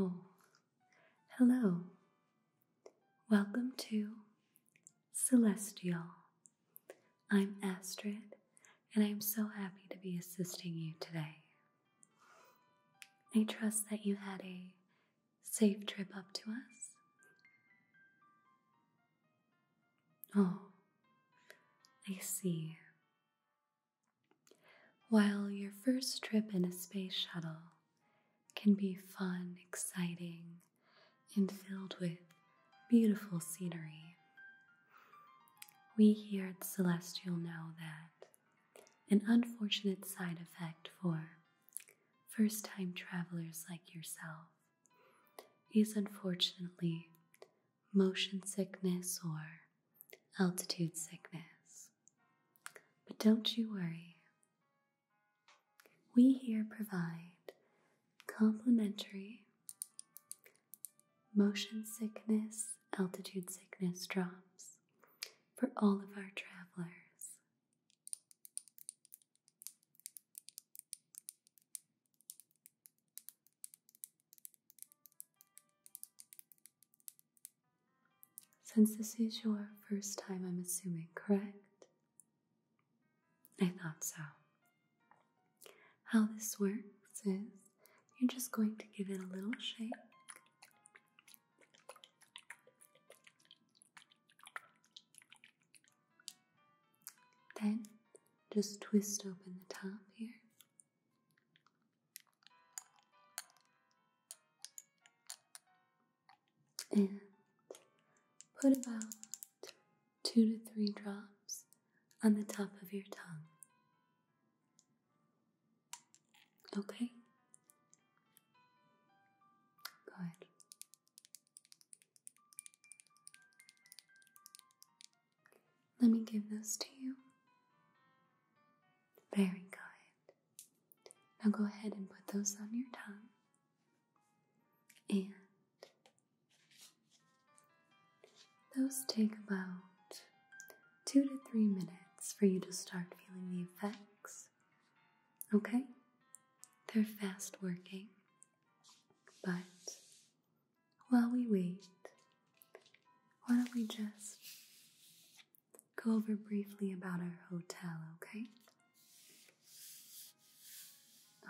Oh, hello. Welcome to Celestial. I'm Astrid, and I am so happy to be assisting you today. I trust that you had a safe trip up to us. Oh, I see. While your first trip in a space shuttle can be fun, exciting, and filled with beautiful scenery, we here at Celestial know that an unfortunate side effect for first time travelers like yourself is unfortunately motion sickness or altitude sickness. But don't you worry. We here provide complimentary motion sickness, altitude sickness drops for all of our travelers. Since this is your first time, I'm assuming, correct? I thought so. How this works is you're just going to give it a little shake. Then just twist open the top here. And put about two to three drops on the top of your tongue. Okay. Good. Let me give those to you. Very good. Now go ahead and put those on your tongue. And those take about two to three minutes for you to start feeling the effects. Okay? They're fast working. But while we wait, why don't we just go over briefly about our hotel, okay?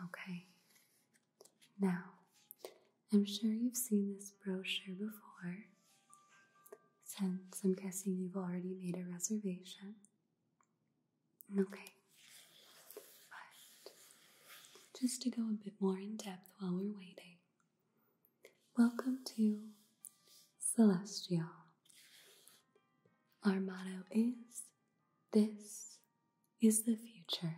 Okay. Now, I'm sure you've seen this brochure before, since I'm guessing you've already made a reservation. Okay, but just to go a bit more in depth while we're waiting, welcome to Celestial. Our motto is This is the future.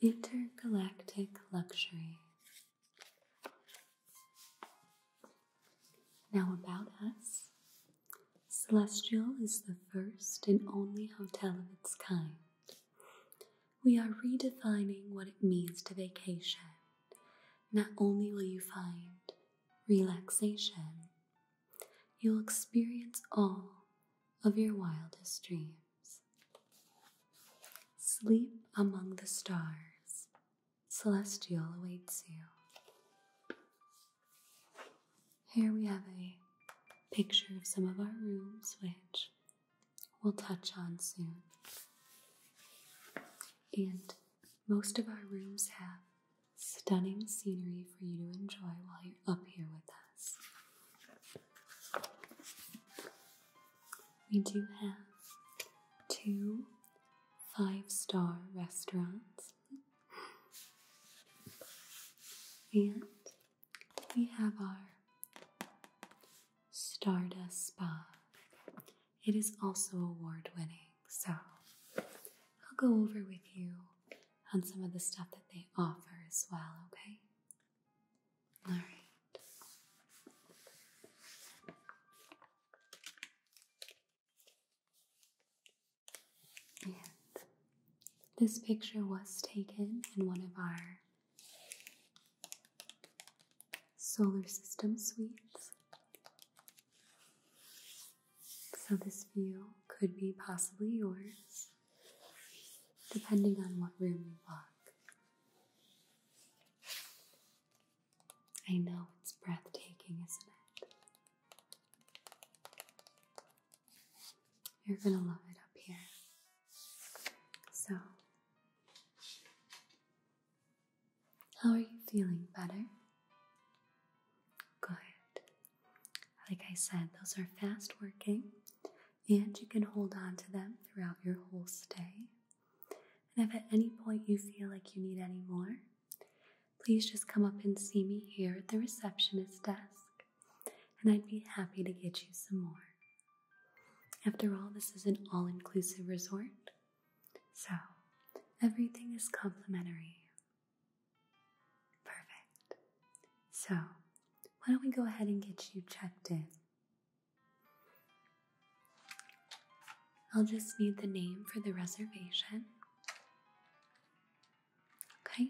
Intergalactic Luxury. Now, about us Celestial is the first and only hotel of its kind. We are redefining what it means to vacation. Not only will you find relaxation, you'll experience all of your wildest dreams. Sleep among the stars. Celestial awaits you. Here we have a picture of some of our rooms, which we'll touch on soon. And most of our rooms have stunning scenery for you to enjoy while you're up here with us. We do have two five star restaurants, and we have our Stardust Spa. It is also award winning, so I'll go over with you on some of the stuff that they offer as well, okay? this picture was taken in one of our solar system suites. So, this view could be possibly yours depending on what room you walk. I know it's breathtaking, isn't it? You're gonna love it up here. So, how are you feeling better? Good. Like I said, those are fast working and you can hold on to them throughout your whole stay. And if at any point you feel like you need any more, please just come up and see me here at the receptionist desk, and I'd be happy to get you some more. After all, this is an all inclusive resort, so everything is complimentary. Perfect. So, why don't we go ahead and get you checked in? I'll just need the name for the reservation. Okay.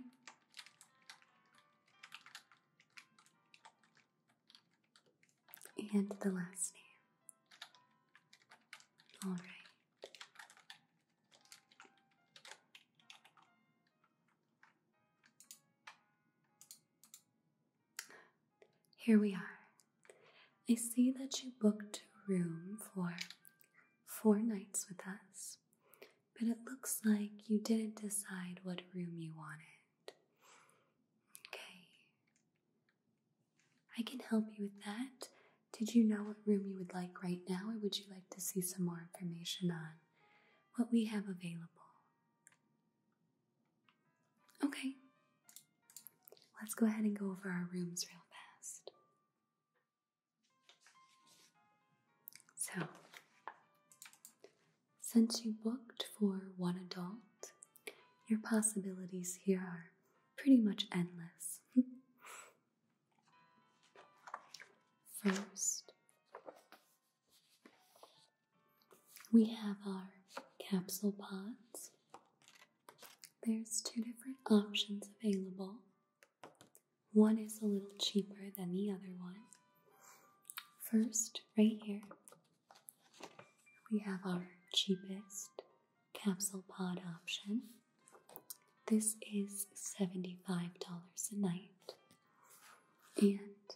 And the last name. All right. Here we are. I see that you booked a room for four nights with us, but it looks like you didn't decide what room you wanted. Okay. I can help you with that. Did you know what room you would like right now, or would you like to see some more information on what we have available? Okay, let's go ahead and go over our rooms real fast. So, since you booked for one adult, your possibilities here are pretty much endless. First, we have our capsule pods. There's two different options available. One is a little cheaper than the other one. First, right here, we have our cheapest capsule pod option. This is $75 a night. And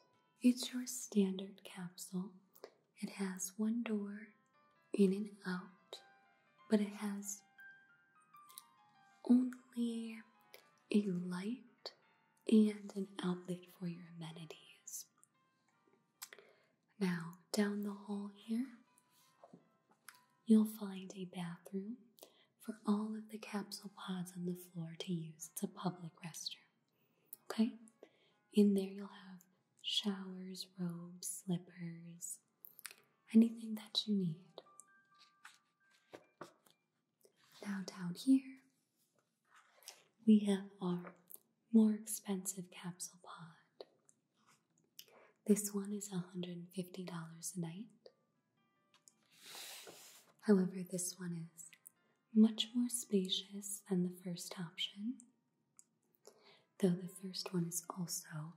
it's your standard capsule. It has one door in and out, but it has only a light and an outlet for your amenities. Now, down the hall here, you'll find a bathroom for all of the capsule pods on the floor to use. It's a public restroom. Okay? In there, you'll have showers, robes, slippers, anything that you need. Now, down here, we have our more expensive capsule pod. This one is $150 a night. However, this one is much more spacious than the first option, though the first one is also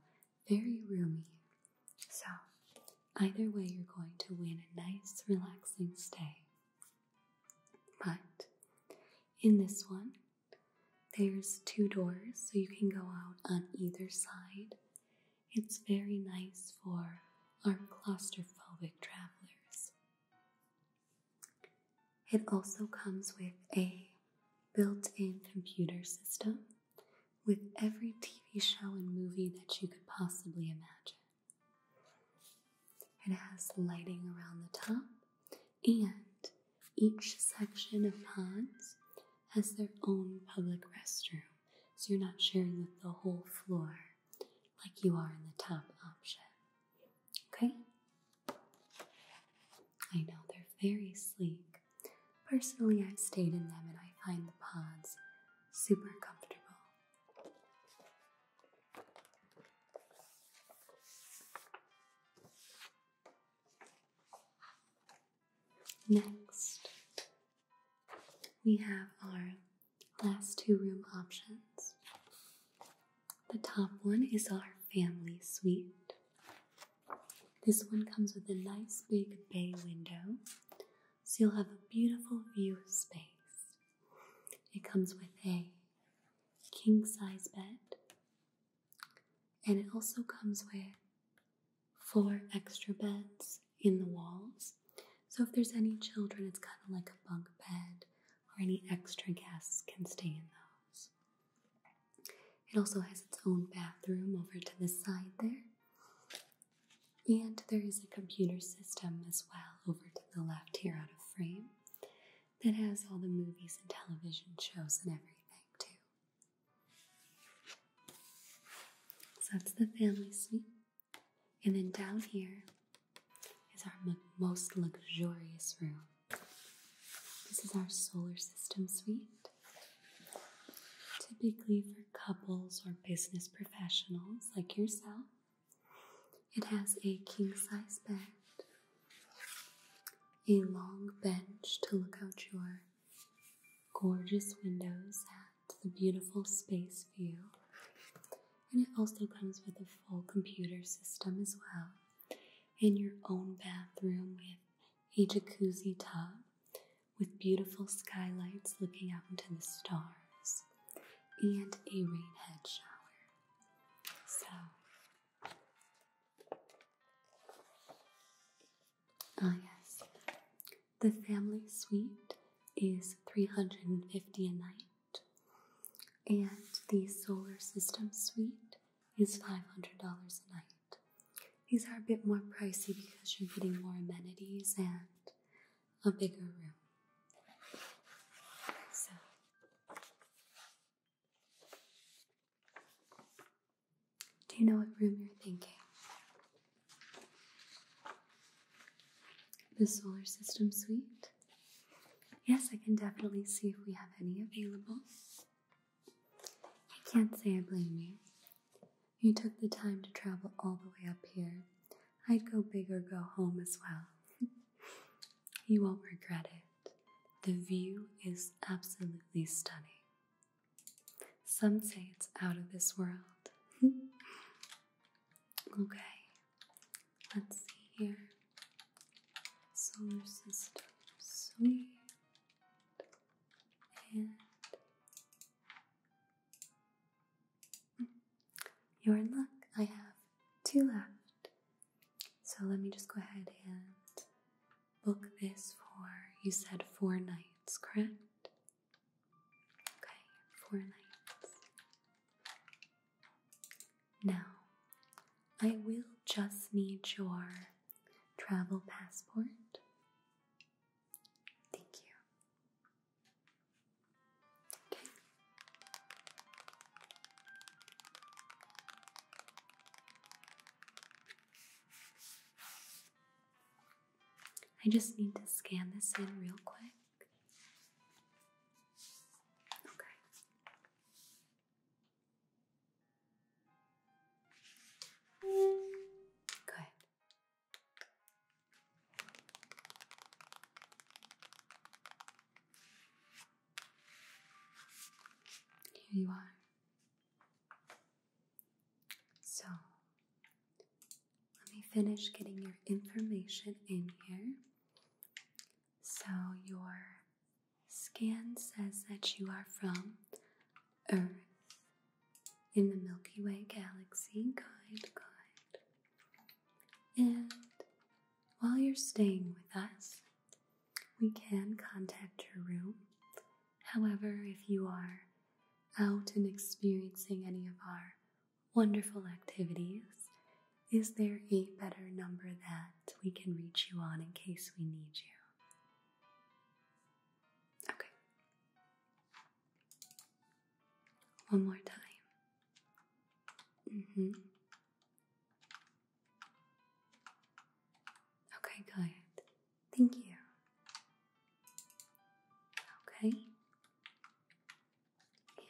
very roomy. So, either way, you're going to win a nice, relaxing stay. But in this one, there's two doors, so you can go out on either side. It's very nice for our claustrophobic travelers. It also comes with a built in computer system with every TV show and movie that you could possibly imagine. It has lighting around the top, and each section of ponds has their own public restroom, so you're not sharing with the whole floor like you are in the top option. Okay? I know they're very sleek. Personally, I've stayed in them and I find the pods super comfortable. Next, we have our last two room options. The top one is our family suite. This one comes with a nice big bay window, so you'll have a beautiful view of space. It comes with a king size bed, and it also comes with four extra beds in the walls. So if there's any children, it's kind of like a bunk bed or any extra guests can stay in those. It also has its own bathroom over to the side there. And there is a computer system as well over to the left here out of frame that has all the movies and television shows and everything too. So that's the family suite. And then down here is our most luxurious room. This is our solar system suite. Typically for couples or business professionals like yourself, it has a king sized bed, a long bench to look out your gorgeous windows at the beautiful space view, and it also comes with a full computer system as well, and your own bathroom with a jacuzzi tub with beautiful skylights looking out into the stars, and a rainhead shower. So, ah, yes, the family suite is 350 a night and the solar system suite is $500 a night. These are a bit more pricey because you're getting more amenities and a bigger room. So Do you know what room you're thinking? The solar system suite? Yes, I can definitely see if we have any available. I can't say I blame you. You took the time to travel all the way up here. I'd go big or go home as well. you won't regret it. The view is absolutely stunning. Some say it's out of this world. Okay, let's see here. Solar system, sweet. And you're in luck. I have two left. So let me just go ahead and book this for, you said four nights, correct? Okay, four nights. Now, I will just need your travel passport. Thank you. I just need to scan this in real quick. Okay. Good. Here you are. So, let me finish getting your information in here. So your scan says that you are from Earth in the Milky Way galaxy. Good, good. And while you're staying with us, we can contact your room. However, if you are out and experiencing any of our wonderful activities. Is there a better number that we can reach you on in case we need you? Okay. One more time. Mm-hmm. Okay, Thank you. Okay good.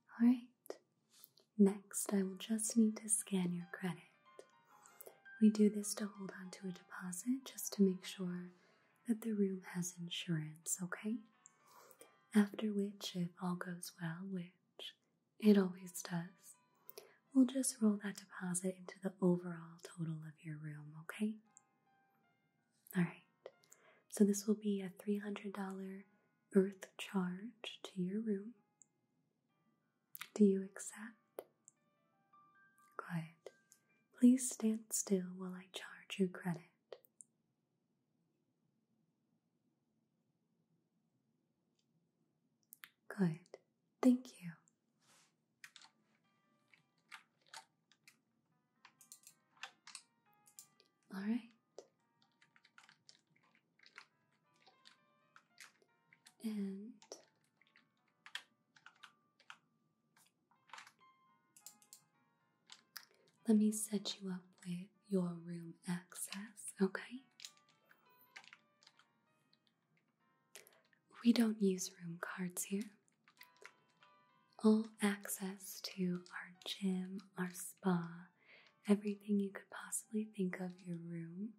All right. All right. Next, I will just need to scan your credit. We do this to hold on to a deposit just to make sure that the room has insurance, okay? After which, if all goes well, which it always does. We'll just roll that deposit into the overall total of your room, okay? All right. So this will be a $300 earth charge to your room. Do you accept? Good. Please stand still while I charge you credit. Good. Thank you. All right. And let me set you up with your room access, okay? We don't use room cards here. All access to our gym, our spa, everything you could possibly think of your room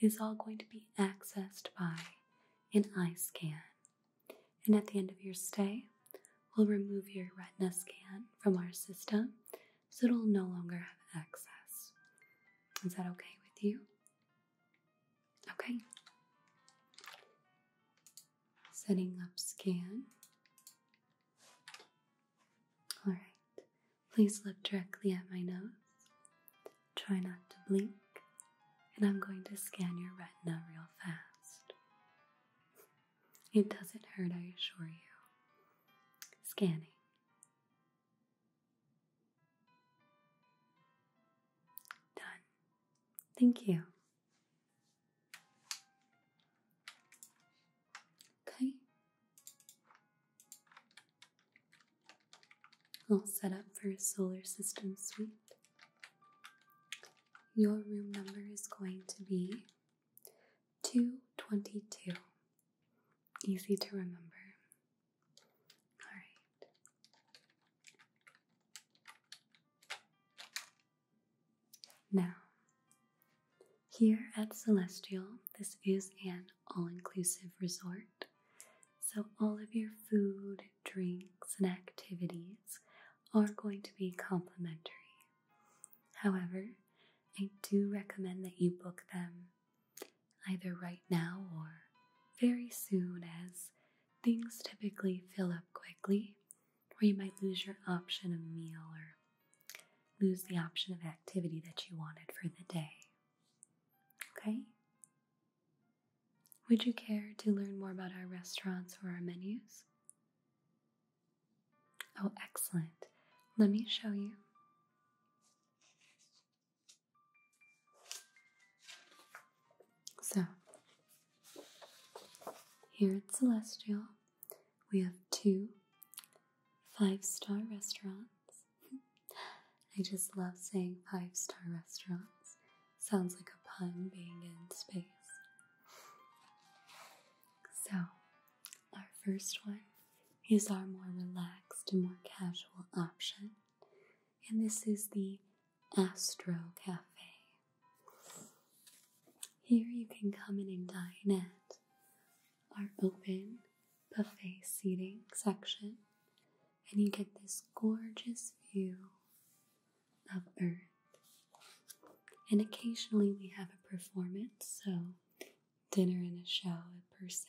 is all going to be accessed by an eye scan. And at the end of your stay, we'll remove your retina scan from our system so it'll no longer have access. Is that okay with you? Okay. Setting up scan. All right. Please look directly at my nose. Try not to blink. And I'm going to scan your retina real fast. It doesn't hurt, I assure you. Scanning. Done. Thank you. Okay. All set up for a solar system suite. Your room number is going to be 222. Easy to remember. All right. Now, here at Celestial, this is an all inclusive resort. So, all of your food, drinks, and activities are going to be complimentary. However, I do recommend that you book them either right now or very soon, as things typically fill up quickly, or you might lose your option of meal or lose the option of activity that you wanted for the day. Okay? Would you care to learn more about our restaurants or our menus? Oh, excellent. Let me show you. So, here at Celestial, we have two five star restaurants. I just love saying five star restaurants. Sounds like a pun being in space. So, our first one is our more relaxed and more casual option, and this is the Astro Cafe. Here you can come in and dine at our open buffet seating section, and you get this gorgeous view of Earth. And occasionally we have a performance, so dinner and a show per se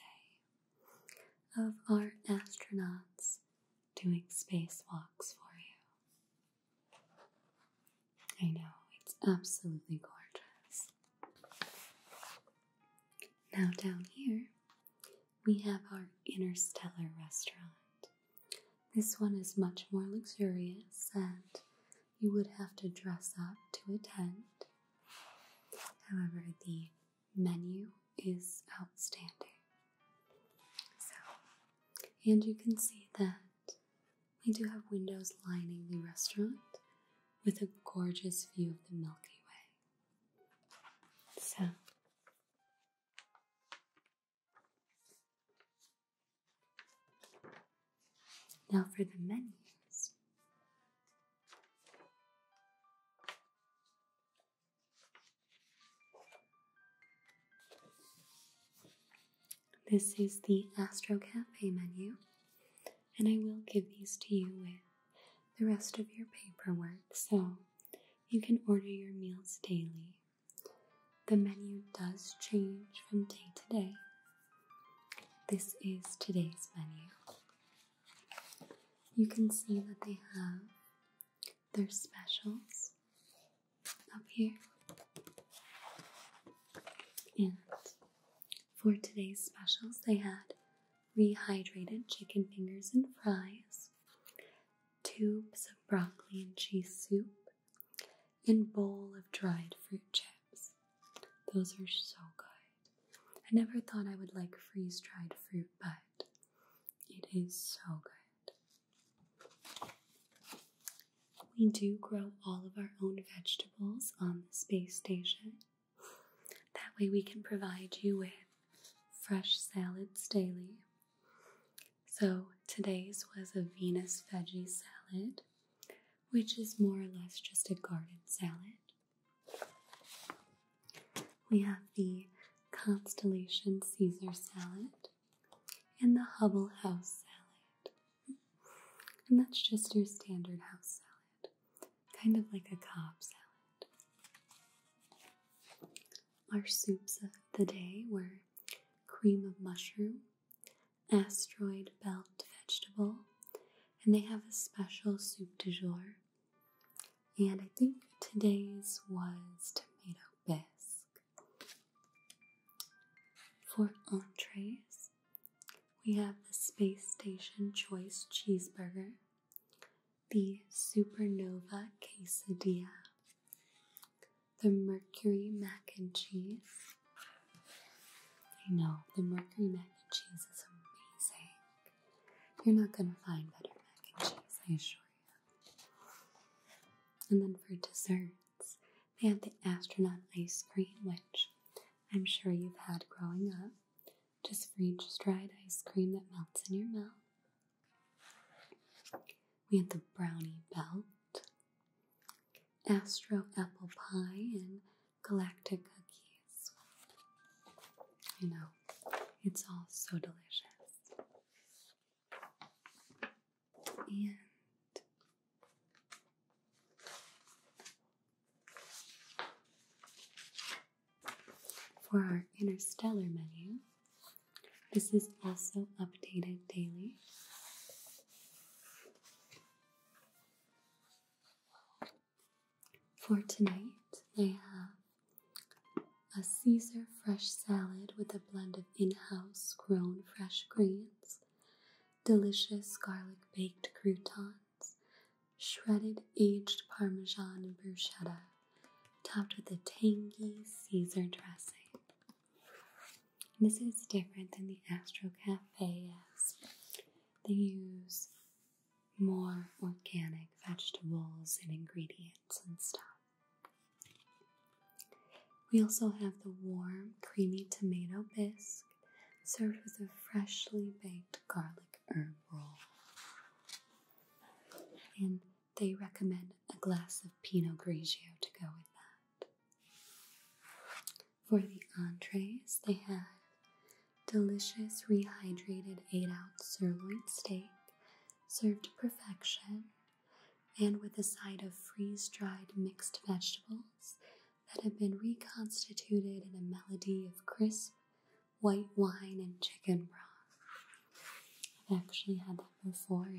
of our astronauts doing spacewalks for you. I know, it's absolutely gorgeous. Now, down here, we have our interstellar restaurant. This one is much more luxurious and you would have to dress up to attend. However, the menu is outstanding. So, and you can see that we do have windows lining the restaurant with a gorgeous view of the Milky Way. So, now for the menus. This is the Astro Cafe menu, and I will give these to you with the rest of your paperwork so you can order your meals daily. The menu does change from day to day, this is today's menu. You can see that they have their specials up here. And for today's specials, they had rehydrated chicken fingers and fries, tubes of broccoli and cheese soup, and bowl of dried fruit chips. Those are so good. I never thought I would like freeze dried fruit, but it is so good. We do grow all of our own vegetables on the space station. That way, we can provide you with fresh salads daily. So, today's was a Venus veggie salad, which is more or less just a garden salad. We have the Constellation Caesar salad and the Hubble House salad. And that's just your standard house salad, kind of like a Cobb salad. Our soups of the day were cream of mushroom, asteroid belt vegetable, and they have a special soup du jour. And I think today's was tomato bisque. For entrees, we have the Space Station Choice Cheeseburger, the Supernova Quesadilla, the Mercury Mac and Cheese, I know the Mercury mac and cheese is amazing. You're not going to find better mac and cheese, I assure you. And then for desserts, they had the astronaut ice cream, which I'm sure you've had growing up. Just freeze dried ice cream that melts in your mouth. We had the brownie belt, Astro apple pie, and galactic cookies. You know, it's all so delicious. And for our interstellar menu, this is also updated daily. For tonight, I have a Caesar fresh salad with a blend of in house grown fresh greens, delicious garlic baked croutons, shredded aged parmesan and bruschetta, topped with a tangy Caesar dressing. This is different than the Astro Cafe, they use more organic vegetables and ingredients and stuff. We also have the warm, creamy tomato bisque served with a freshly baked garlic herb roll. And they recommend a glass of Pinot Grigio to go with that. For the entrees, they had delicious rehydrated 8 ounce sirloin steak served to perfection and with a side of freeze dried mixed vegetables that have been reconstituted in a melody of crisp white wine and chicken broth. I've actually had that before,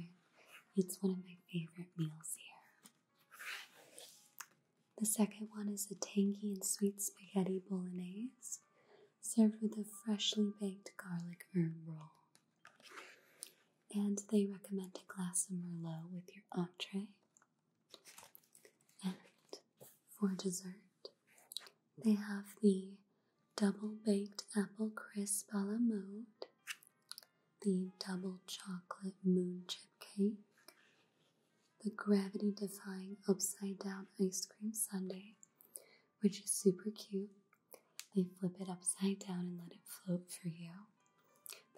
it's one of my favorite meals here. The second one is a tangy and sweet spaghetti bolognese served with a freshly baked garlic herb roll. And they recommend a glass of Merlot with your entree. And for dessert, they have the double baked apple crisp a la mode, the double chocolate moon chip cake, the gravity defying upside down ice cream sundae, which is super cute. They flip it upside down and let it float for you.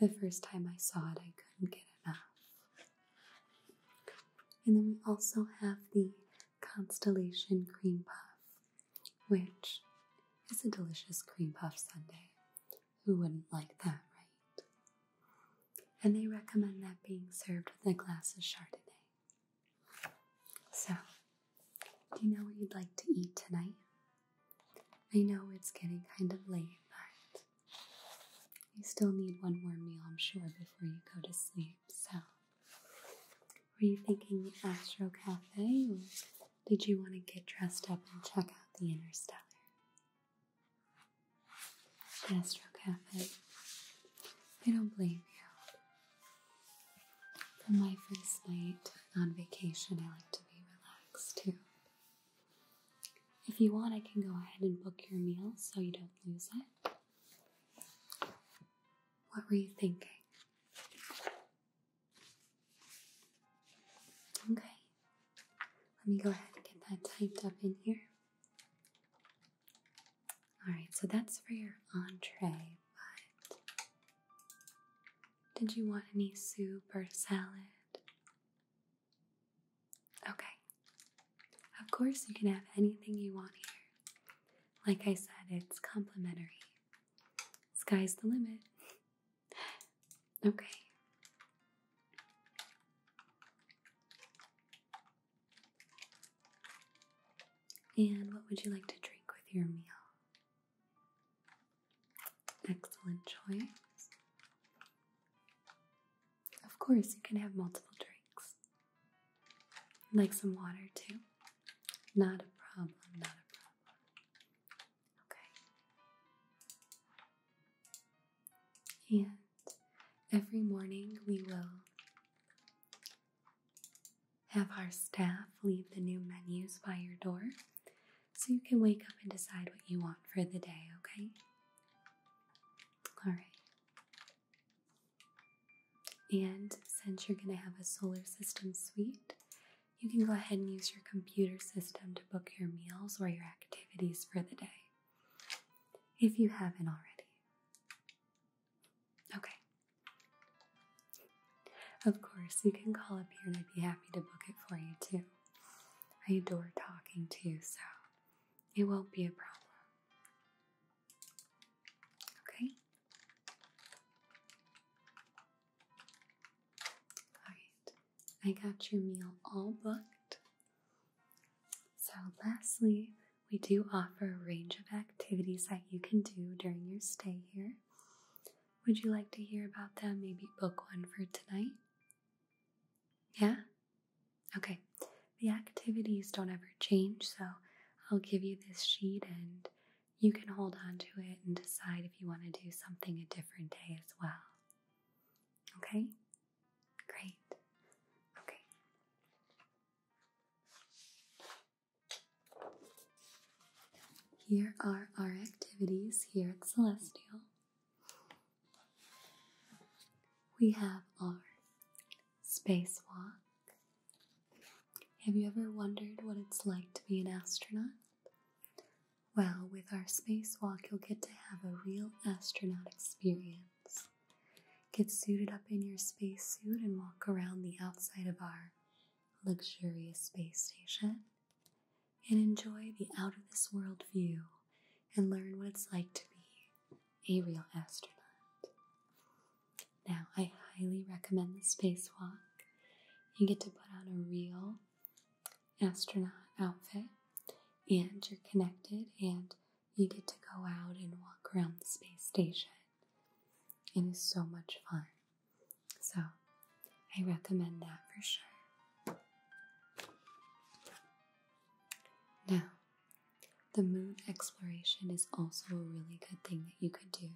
The first time I saw it, I couldn't get enough. And then we also have the Constellation Cream Puff, which is a delicious cream puff sundae. Who wouldn't like that, right? and they recommend that being served with a glass of Chardonnay. So, do you know what you'd like to eat tonight? I know it's getting kind of late, but you still need one more meal, I'm sure, before you go to sleep. So, were you thinking the Astro Cafe, or did you want to get dressed up and check out the Interstellar? Astro Cafe. I don't blame you. For my first night on vacation, I like to be relaxed too. If you want, I can go ahead and book your meal so you don't lose it. What were you thinking? Okay, let me go ahead and get that typed up in here. Alright, so that's for your entree, but did you want any soup or salad? Okay. Of course, you can have anything you want here. Like I said, it's complimentary. Sky's the limit. okay. And what would you like to drink with your meal? Excellent choice. Of course, you can have multiple drinks. Like some water too. Not a problem, not a problem. Okay. And every morning we will have our staff leave the new menus by your door so you can wake up and decide what you want for the day, okay? All right. And since you're going to have a solar system suite, you can go ahead and use your computer system to book your meals or your activities for the day if you haven't already. Okay. Of course, you can call up here and I'd be happy to book it for you too. I adore talking to you, so it won't be a problem. Okay? Alright, I got your meal all booked. So, lastly, we do offer a range of activities that you can do during your stay here. Would you like to hear about them? Maybe book one for tonight? Yeah? Okay. The activities don't ever change, so I'll give you this sheet and you can hold on to it and decide if you want to do something a different day as well. Okay? Great. Okay. Here are our activities here at Celestial. We have our spacewalk. Have you ever wondered what it's like to be an astronaut? Well, with our spacewalk, you'll get to have a real astronaut experience. Get suited up in your spacesuit and walk around the outside of our luxurious space station and enjoy the out of this world view and learn what it's like to be a real astronaut. Now, I highly recommend the spacewalk. You get to put on a real astronaut outfit and you're connected and you get to go out and walk around the space station. It is so much fun. So, I recommend that for sure. Now, the moon exploration is also a really good thing that you could do.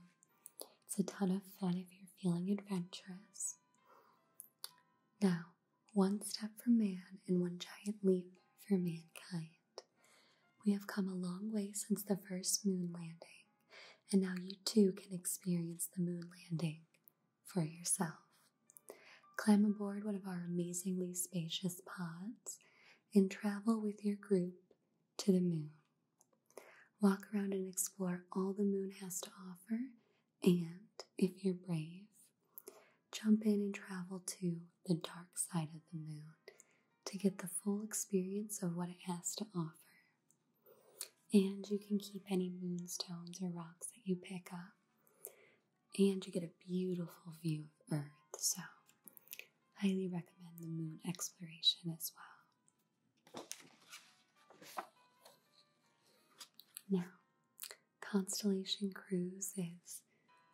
It's a ton of fun if you're feeling adventurous. Now, one step for man and one giant leap for mankind. We have come a long way since the first moon landing, and now you too can experience the moon landing for yourself. Climb aboard one of our amazingly spacious pods and travel with your group to the moon. Walk around and explore all the moon has to offer, and if you're brave, Jump in and travel to the dark side of the moon to get the full experience of what it has to offer. And you can keep any moonstones or rocks that you pick up. And you get a beautiful view of Earth, so highly recommend the moon exploration as well. Now, Constellation Cruise is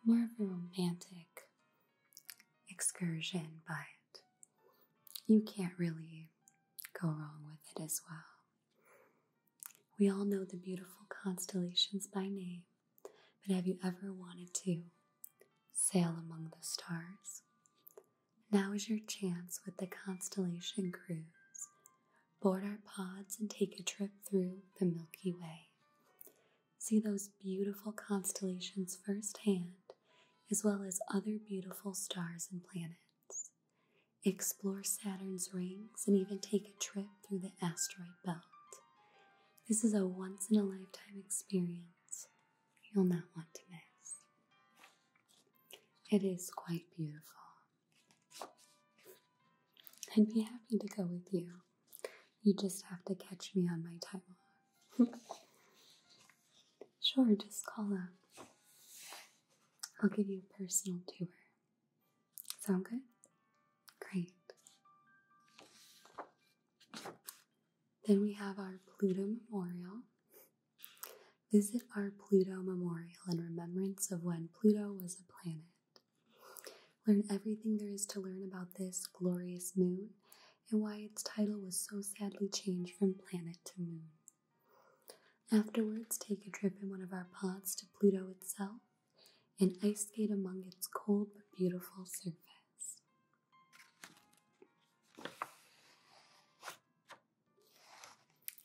more of a romantic excursion, but you can't really go wrong with it as well. We all know the beautiful constellations by name, but have you ever wanted to sail among the stars? Now is your chance with the Constellation Cruise. Board our pods and take a trip through the Milky Way see those beautiful constellations firsthand, as well as other beautiful stars and planets. Explore Saturn's rings and even take a trip through the asteroid belt. This is a once in a lifetime experience you'll not want to miss. It is quite beautiful. I'd be happy to go with you. You just have to catch me on my time sure, just call up. I'll give you a personal tour. Sound good? Great. Then we have our Pluto Memorial. Visit our Pluto Memorial in remembrance of when Pluto was a planet. Learn everything there is to learn about this glorious moon and why its title was so sadly changed from planet to moon. Afterwards, take a trip in one of our pods to Pluto itself and ice skate among its cold but beautiful surface.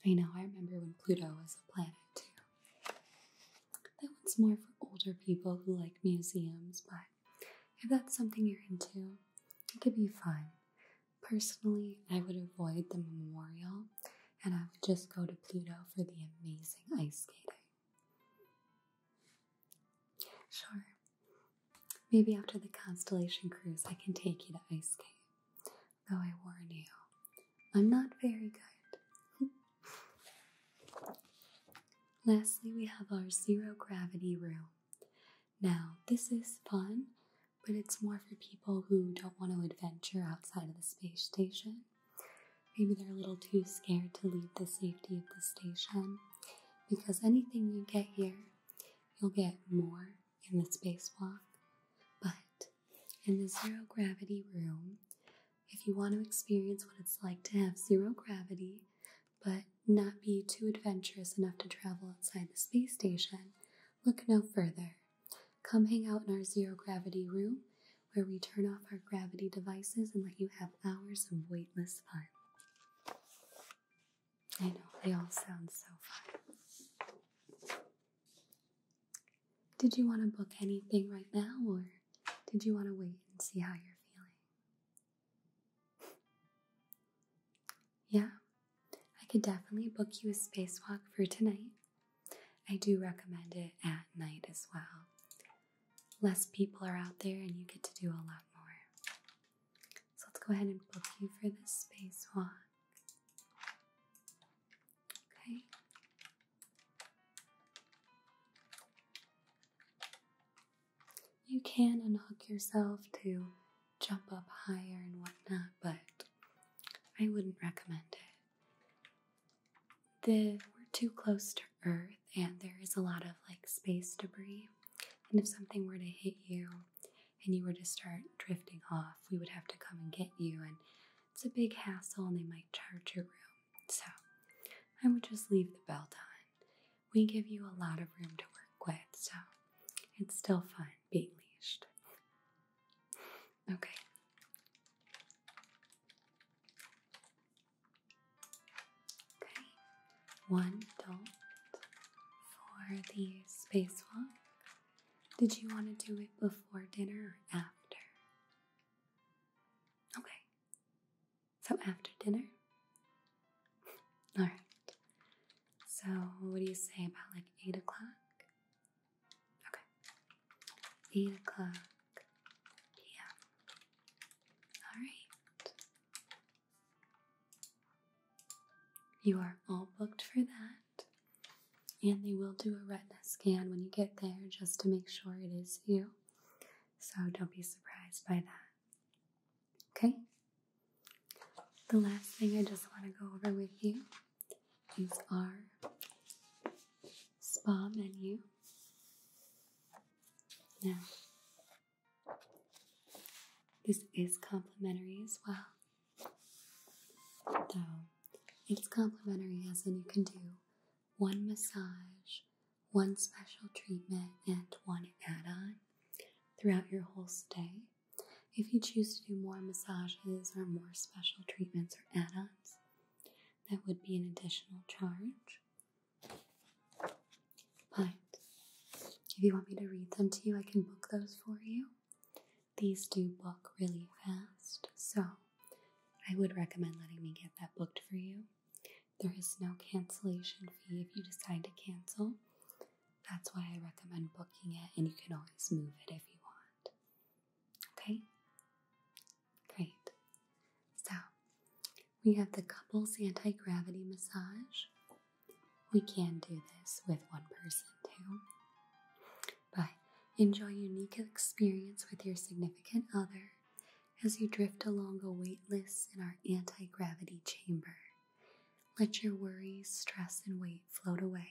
I know, I remember when Pluto was a planet too. That one's more for older people who like museums, but if that's something you're into, it could be fun. Personally, I would avoid the memorial and I would just go to Pluto for the amazing ice skating. Sure, maybe after the Constellation Cruise, I can take you to ice skate. Though I warn you, I'm not very good. Lastly, we have our zero gravity room. Now, this is fun, but it's more for people who don't want to adventure outside of the space station. Maybe they're a little too scared to leave the safety of the station because anything you get here, you'll get more in the spacewalk. But in the zero gravity room, if you want to experience what it's like to have zero gravity, but not be too adventurous enough to travel outside the space station, look no further. Come hang out in our zero gravity room where we turn off our gravity devices and let you have hours of weightless fun. I know, they all sound so fun. Did you want to book anything right now, or did you want to wait and see how you're feeling? Yeah, I could definitely book you a spacewalk for tonight. I do recommend it at night as well. Less people are out there and you get to do a lot more. So let's go ahead and book you for this spacewalk. Okay you can unhook yourself to jump up higher and whatnot, but I wouldn't recommend it. we're too close to Earth, and there is a lot of like space debris. And if something were to hit you and you were to start drifting off, we would have to come and get you, and it's a big hassle, and they might charge your room. So I would just leave the belt on we give you a lot of room to work with, so it's still fun being leashed. Okay. Okay, one adult for the spacewalk. Did you want to do it before dinner or after? Okay, so after dinner? Alright. So what do you say about like 8 o'clock? Okay. 8 o'clock p.m. Alright. You are all booked for that. And they will do a retina scan when you get there just to make sure it is you. So don't be surprised by that. Okay? The last thing I just want to go over with you is our spa menu. Now, this is complimentary as well. Though, it's complimentary as and you can do one massage, one special treatment, and one add on throughout your whole stay. If you choose to do more massages or more special treatments or add ons, that would be an additional charge. But if you want me to read them to you, I can book those for you. These do book really fast, so I would recommend letting me get that booked for you. There is no cancellation fee if you decide to cancel. That's why I recommend booking it, and you can always move it if you want. Okay? Great. So, we have the couples anti gravity massage. We can do this with one person too. But enjoy unique experience with your significant other as you drift along a weightless in our anti gravity chamber. Let your worries, stress, and weight float away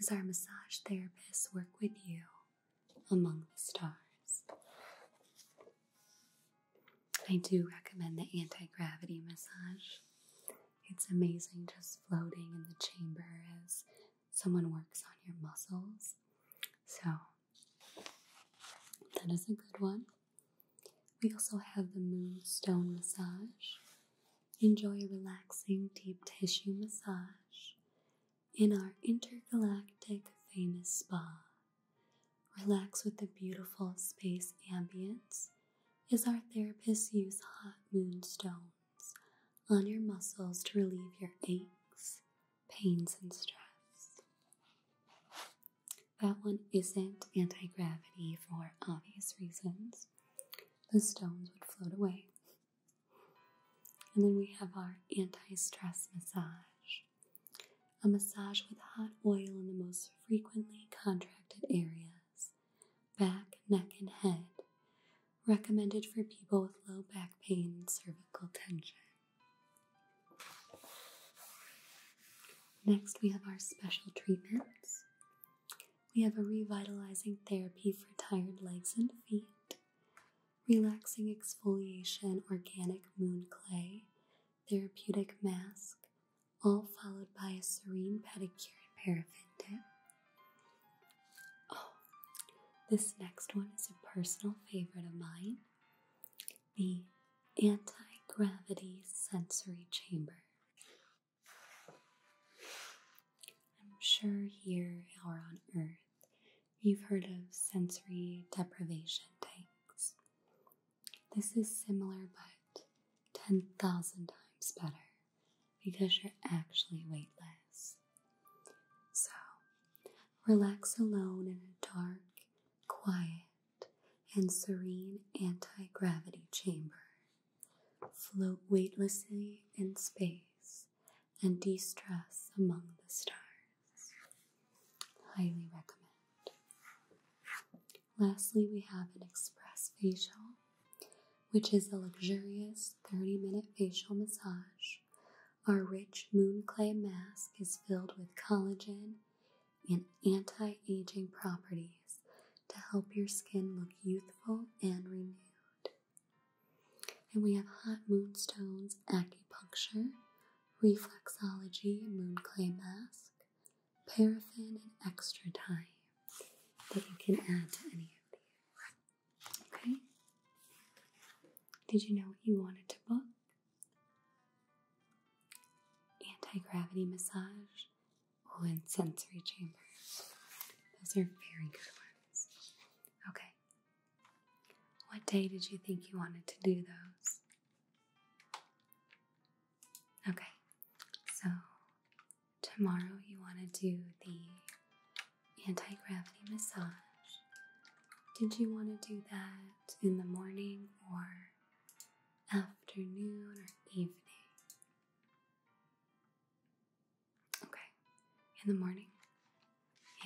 as our massage therapists work with you among the stars. I do recommend the anti gravity massage. It's amazing just floating in the chamber as someone works on your muscles. So, that is a good one. We also have the Moonstone Massage. Enjoy a relaxing deep tissue massage in our intergalactic famous spa. Relax with the beautiful space ambience as our therapists use hot moonstones on your muscles to relieve your aches, pains and stress. That one isn't anti gravity for obvious reasons. The stones would float away. And then we have our anti stress massage a massage with hot oil in the most frequently contracted areas back, neck, and head, recommended for people with low back pain and cervical tension. Next, we have our special treatments. We have a revitalizing therapy for tired legs and feet, relaxing exfoliation, organic moon clay, therapeutic mask, all followed by a serene pedicure and paraffin dip. Oh, this next one is a personal favorite of mine the anti gravity sensory chamber. I'm sure here or on Earth you've heard of sensory deprivation tanks. This is similar but 10,000 times better because you're actually weightless. So, relax alone in a dark quiet, and serene anti gravity chamber. Float weightlessly in space and de stress among the stars. Highly recommend. Lastly, we have an express facial, which is a luxurious 30 minute facial massage. Our rich moon clay mask is filled with collagen and anti aging properties to help your skin look youthful and renewed. And we have hot moonstones, acupuncture, reflexology, moon clay mask, paraffin, and extra time that you can add to any of these. Okay? Did you know what you wanted to book? anti gravity massage, oh, and sensory chamber. Those are very good ones. Okay. What day did you think you wanted to do those? Okay, so tomorrow you want to do the anti gravity massage. Did you want to do that in the morning or afternoon, or evening. Okay, in the morning?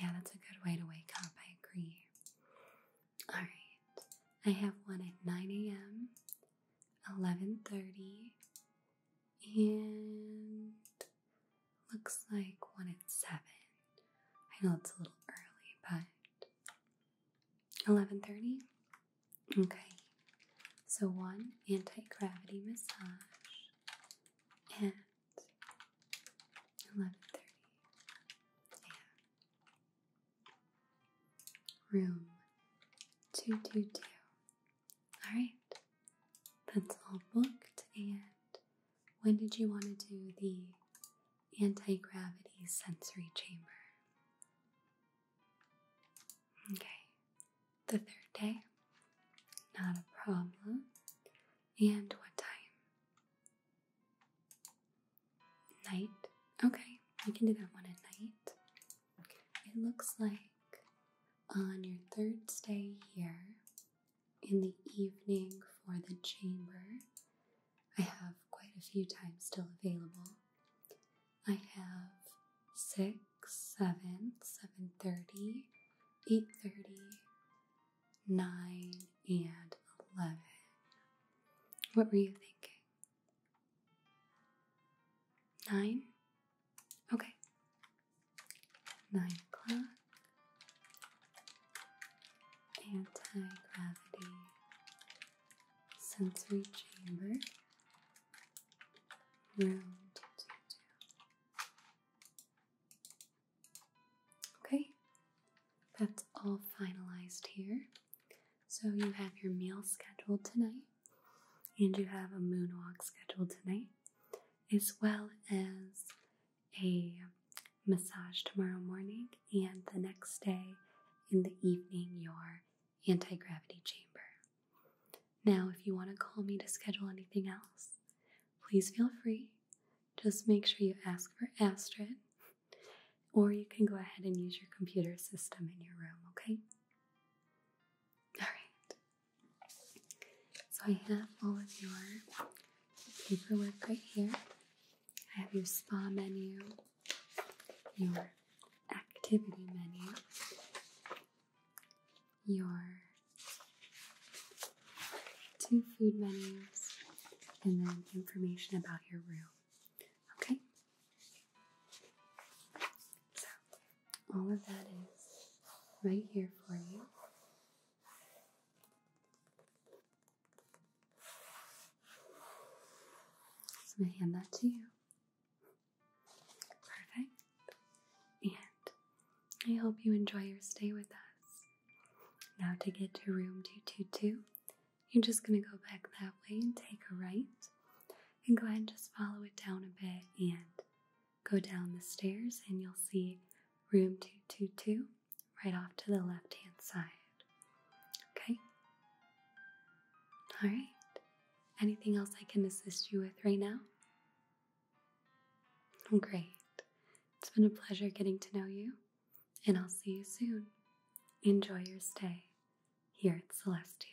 Yeah, that's a good way to wake up, I agree. Alright, I have one at 9 a.m., 11.30, and looks like one at 7. I know it's a little early, but 11:30. Okay. So one anti-gravity massage at 11:30. Yeah. Room 222. All right. That's all booked and when did you want to do the anti gravity sensory chamber. Okay, the third day, not a problem. And what time? Night. Okay, we can do that one at night. It looks like on your third stay here in the evening for the chamber, I have quite a few times still available. I have 6, 7, 7.30, 8.30, 9, and 11. What were you thinking? 9? Okay. 9 o'clock. Anti-gravity sensory chamber, Okay, that's all finalized here. So you have your meal scheduled tonight, and you have a moonwalk scheduled tonight, as well as a massage tomorrow morning and the next day in the evening your anti gravity chamber. Now, if you want to call me to schedule anything else, please feel free. Just make sure you ask for Astrid, or you can go ahead and use your computer system in your room, okay? All right. So I have all of your paperwork right here. I have your spa menu, your activity menu, your two food menus, and then information about your room. Okay? So, all of that is right here for you. So I'm going to hand that to you. Perfect. And I hope you enjoy your stay with us. Now, to get to room 222, you're just going to go back that way and take a right. And go ahead and just follow it down a bit and go down the stairs, and you'll see room 222 right off to the left hand side. Okay? Alright. Anything else I can assist you with right now? Oh, great. It's been a pleasure getting to know you, and I'll see you soon. Enjoy your stay here at Celestial.